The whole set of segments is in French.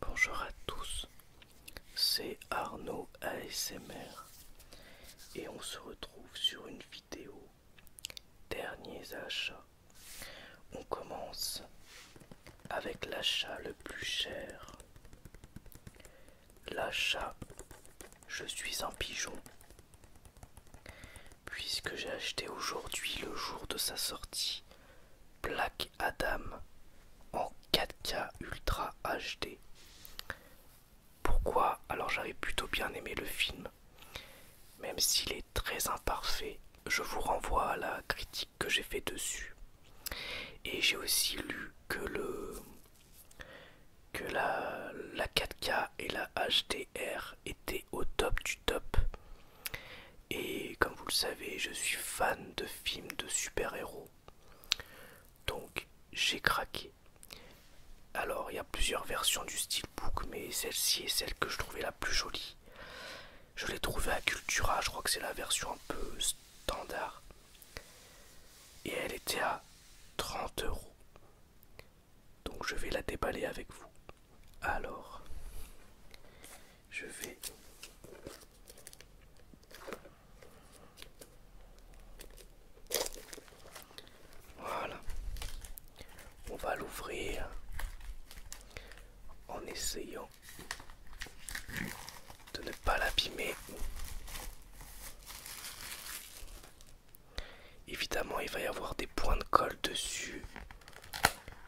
Bonjour à tous, c'est Arnaud ASMR et on se retrouve sur une vidéo derniers achats. On commence avec l'achat le plus cher l'achat je suis un pigeon puisque j'ai acheté aujourd'hui le jour de sa sortie Black Adam en 4K Ultra HD. Pourquoi Alors j'avais plutôt bien aimé le film. Même s'il est très imparfait, je vous renvoie à la critique que j'ai fait dessus. Et j'ai aussi lu que le que la, la 4K et la HDR étaient au top du top. Et comme vous le savez, je suis fan de films de super-héros. Donc j'ai craqué. Alors il y a plusieurs versions du steelbook, mais celle-ci est celle que je trouvais la plus jolie. Je l'ai trouvée à Cultura, je crois que c'est la version un peu standard. Et elle était à 30 euros. Donc je vais la déballer avec vous. Alors, je vais... Voilà. On va l'ouvrir en essayant de ne pas l'abîmer. Évidemment, il va y avoir des points de colle dessus,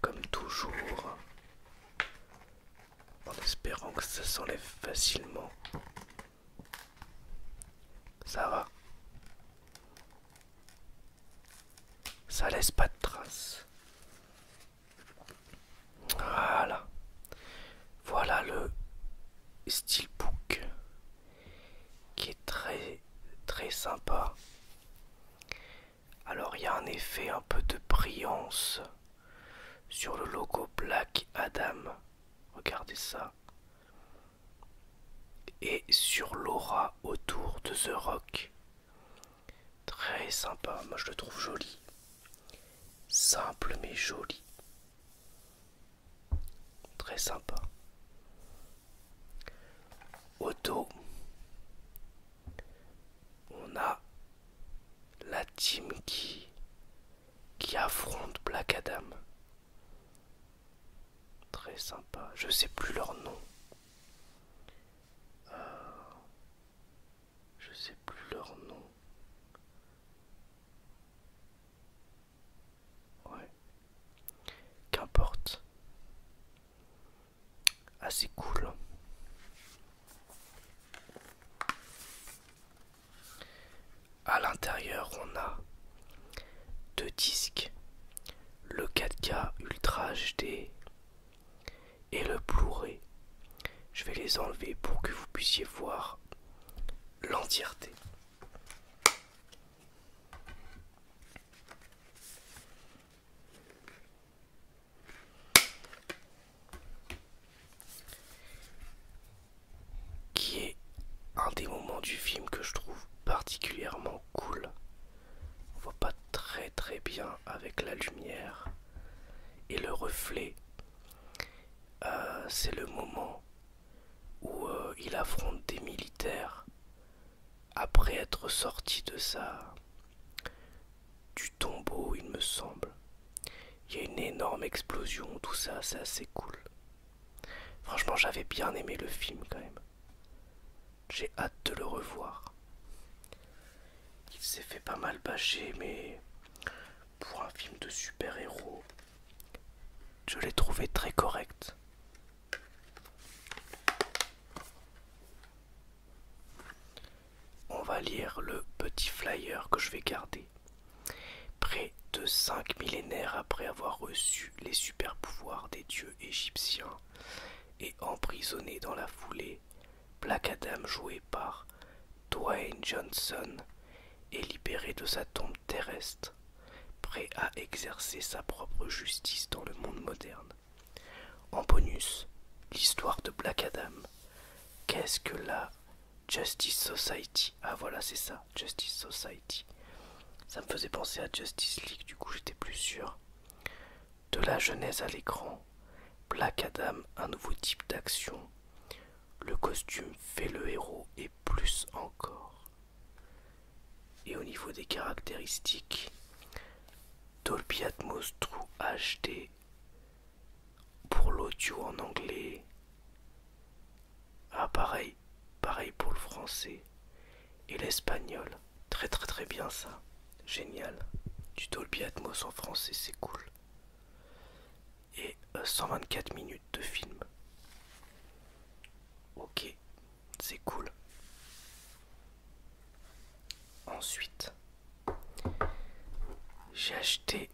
comme toujours, en espérant que ça s'enlève facilement. Ça va. Ça laisse pas de traces. Voilà. Voilà le steelbook qui est très très sympa. Alors il y a un effet un peu de brillance sur le logo Black Adam. Regardez ça. Et sur l'aura autour de The Rock. Très sympa, moi je le trouve joli. Simple mais joli. Très sympa. Au on a la team qui, qui affronte Black Adam. Très sympa. Je sais plus leur nom. Euh, je sais plus leur nom. Ouais. Qu'importe. Assez cool. Hein. À l'intérieur, on a deux disques, le 4K Ultra HD et le Blu-ray. Je vais les enlever pour que vous puissiez voir l'entièreté. Qui est un des moments du film que je trouve particulièrement cool. On voit pas très très bien avec la lumière et le reflet euh, c'est le moment où euh, il affronte des militaires après être sorti de ça, du tombeau, il me semble. Il y a une énorme explosion, tout ça, c'est assez cool. Franchement, j'avais bien aimé le film quand même. J'ai hâte de le revoir. Il s'est fait pas mal bâcher, mais pour un film de super-héros, je l'ai trouvé très correct. On va lire le petit flyer que je vais garder. Près de cinq millénaires après avoir reçu les super pouvoirs des dieux égyptiens et emprisonné dans la foulée, Black Adam joué par Dwayne Johnson est libéré de sa tombe terrestre, prêt à exercer sa propre justice dans le monde moderne. En bonus, l'histoire de Black Adam. Qu'est-ce que la Justice Society Ah voilà, c'est ça, Justice Society. Ça me faisait penser à Justice League, du coup j'étais plus sûr. De la genèse à l'écran, Black Adam, un nouveau type d'action le costume fait le héros et plus encore. Et au niveau des caractéristiques, Dolby True HD pour l'audio en anglais. Ah pareil, pareil pour le français et l'espagnol. Très très très bien ça. Génial. Du Dolby Atmos en français, c'est cool et 124 euh, minutes de film. Ok, c'est cool. Ensuite, j'ai acheté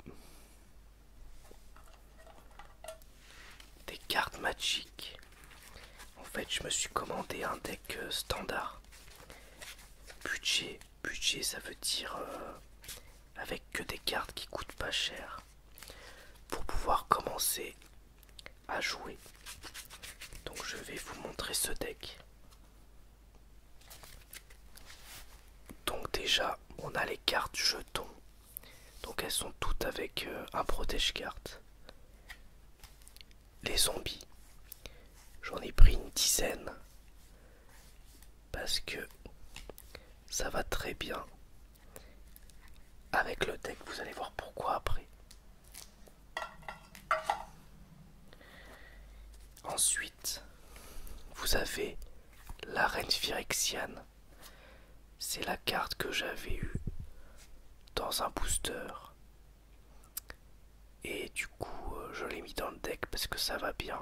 des cartes magiques. En fait, je me suis commandé un deck euh, standard budget budget ça veut dire euh, avec que des cartes qui coûtent pas cher pour pouvoir commencer à jouer donc je vais vous montrer ce deck donc déjà on a les cartes jetons donc elles sont toutes avec euh, un protège carte les zombies j'en ai pris une dizaine parce que ça va très bien avec le deck. Vous allez voir pourquoi après. Ensuite, vous avez la reine Phyrexiane. C'est la carte que j'avais eue dans un booster. Et du coup, euh, je l'ai mis dans le deck parce que ça va bien.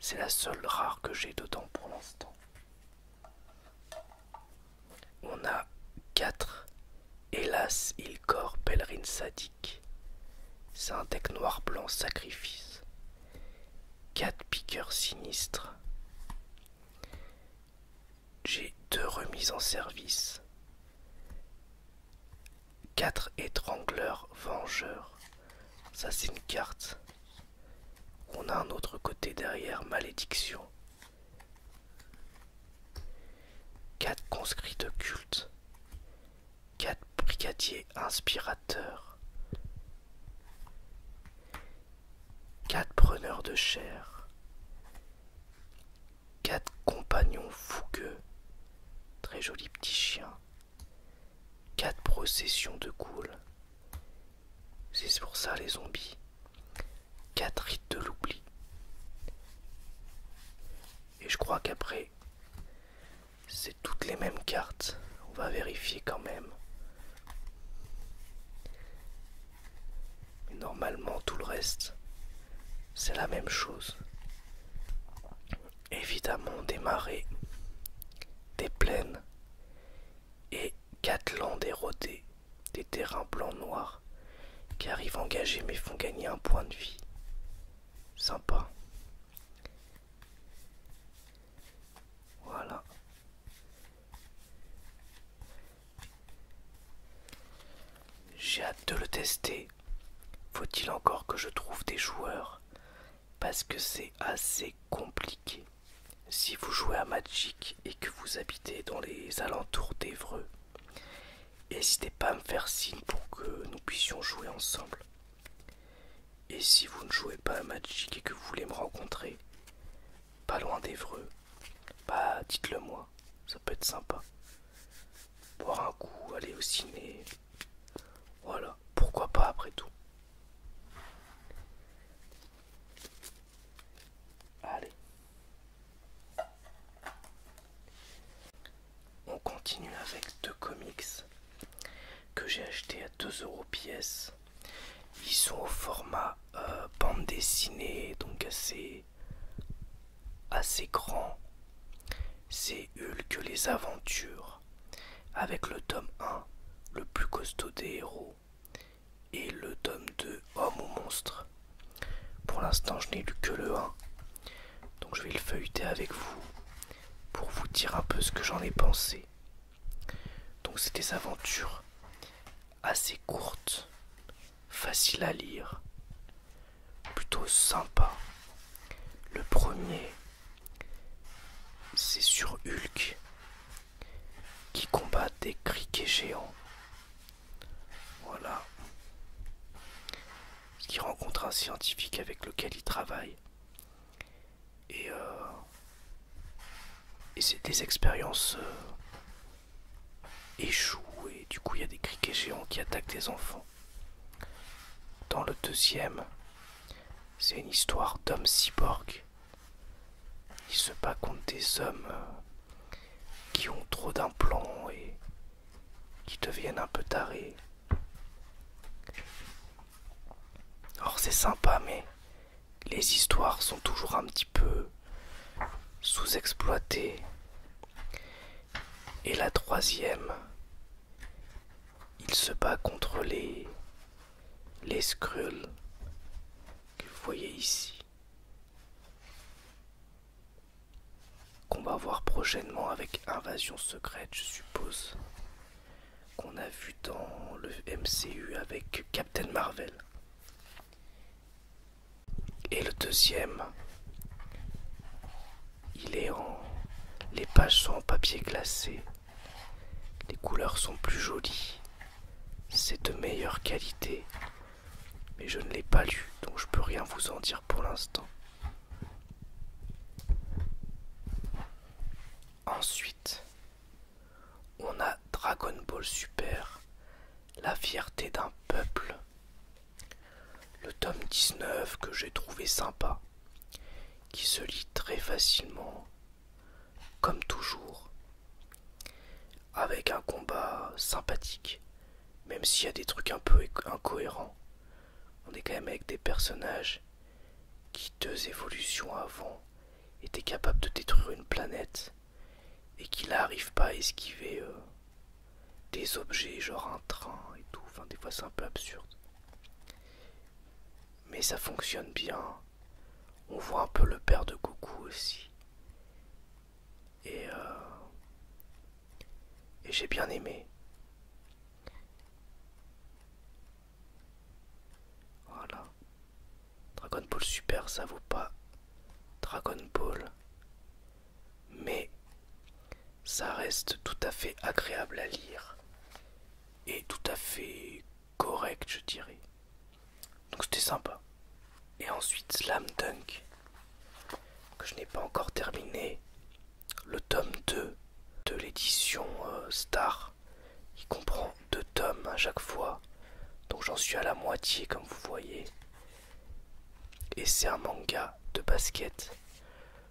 C'est la seule rare que j'ai dedans pour l'instant. On a 4. Hélas, il corps pèlerine sadique. C'est un deck noir blanc sacrifice. 4 piqueurs sinistres. J'ai deux remises en service. 4 étrangleurs vengeurs. Ça c'est une carte. On a un autre côté derrière, malédiction. 4 conscrits de culte. 4 brigadiers inspirateurs. 4 preneurs de chair. 4 compagnons fougueux. Très joli petit chien. 4 processions de cool. C'est pour ça les zombies. 4 rites de l'oubli. Et je crois qu'après, c'est toutes les mêmes cartes. On va vérifier quand même. Mais normalement, tout le reste, c'est la même chose évidemment des marais, des plaines et quatre landes érodées, des terrains blancs noirs qui arrivent engagés mais font gagner un point de vie. Sympa. Voilà. J'ai hâte de le tester. Faut-il encore que je trouve des joueurs parce que c'est assez compliqué. Si vous jouez à Magic et que vous habitez dans les alentours d'Evreux, n'hésitez pas à me faire signe pour que nous puissions jouer ensemble. Et si vous ne jouez pas à Magic et que vous voulez me rencontrer, pas loin d'Evreux, bah dites-le moi, ça peut être sympa. Boire un coup, aller au ciné, voilà, pourquoi pas après tout. Allez. On continue avec deux comics que j'ai achetés à 2 euros pièce. Ils sont au format euh, bande dessinée, donc assez, assez grand. C'est Hulk les aventures avec le tome 1, le plus costaud des héros, et le tome 2, Homme ou monstre. Pour l'instant, je n'ai lu que le 1, donc je vais le feuilleter avec vous pour vous dire un peu ce que j'en ai pensé. Donc, c'est des aventures assez courtes, faciles à lire, plutôt sympa. Le premier c'est sur Hulk qui combat des criquets géants. Voilà. Qui rencontre un scientifique avec lequel il travaille. Et, euh, et c'est des expériences euh, échouées, du coup, il y a des criquets géants qui attaquent des enfants. Dans le deuxième, c'est une histoire d'homme cyborg. Il se bat contre des hommes euh, qui ont trop d'implants et qui deviennent un peu tarés. Or c'est sympa, mais les histoires sont toujours un petit peu sous-exploitées. Et la troisième il se bat contre les les Skrulls que vous voyez ici qu'on va voir prochainement avec Invasion Secrète je suppose qu'on a vu dans le MCU avec Captain Marvel et le deuxième il est en. Les pages sont en papier glacé. Les couleurs sont plus jolies. C'est de meilleure qualité. Mais je ne l'ai pas lu, donc je peux rien vous en dire pour l'instant. Ensuite, on a Dragon Ball Super, la fierté d'un peuple. Le tome 19 que j'ai trouvé sympa qui se lit très facilement, comme toujours, avec un combat sympathique, même s'il y a des trucs un peu incohérents. On est quand même avec des personnages qui, deux évolutions avant, étaient capables de détruire une planète et qui n'arrivent pas à esquiver euh, des objets, genre un train et tout. Enfin, des fois, c'est un peu absurde. Mais ça fonctionne bien. On voit un peu le père de Goku aussi. Et, euh, j'ai bien aimé. Voilà. Dragon Ball Super, ça vaut pas Dragon Ball. Mais ça reste tout à fait agréable à lire et tout à fait correct, je dirais. Donc c'était sympa. Et ensuite Slam Dunk, que je n'ai pas encore terminé, le tome 2 de l'édition euh, Star. Il comprend deux tomes à chaque fois, donc j'en suis à la moitié comme vous voyez. Et c'est un manga de basket.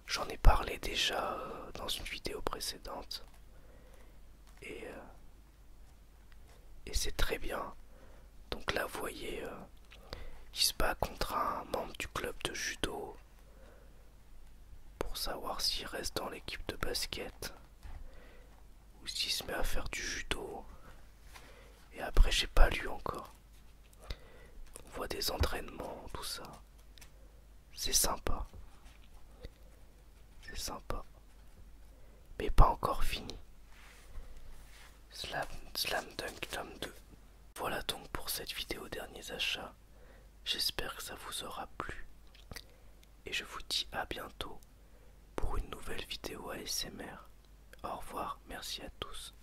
J'en ai parlé déjà euh, dans une vidéo précédente. Euh, et, c'est très bien. Donc là, vous voyez, euh, se bat contre un membre du club de judo pour savoir s'il reste dans l'équipe de basket ou s'il se met à faire du judo. Et après, j'ai pas lu encore. On voit des entraînements, tout ça. C'est sympa. C'est sympa. Mais pas encore fini. Slam, Dunk Slam 2. Voilà donc pour cette vidéo derniers achats. J'espère que ça vous aura plu. Et je vous dis à bientôt pour une nouvelle vidéo ASMR. Au revoir, merci à tous.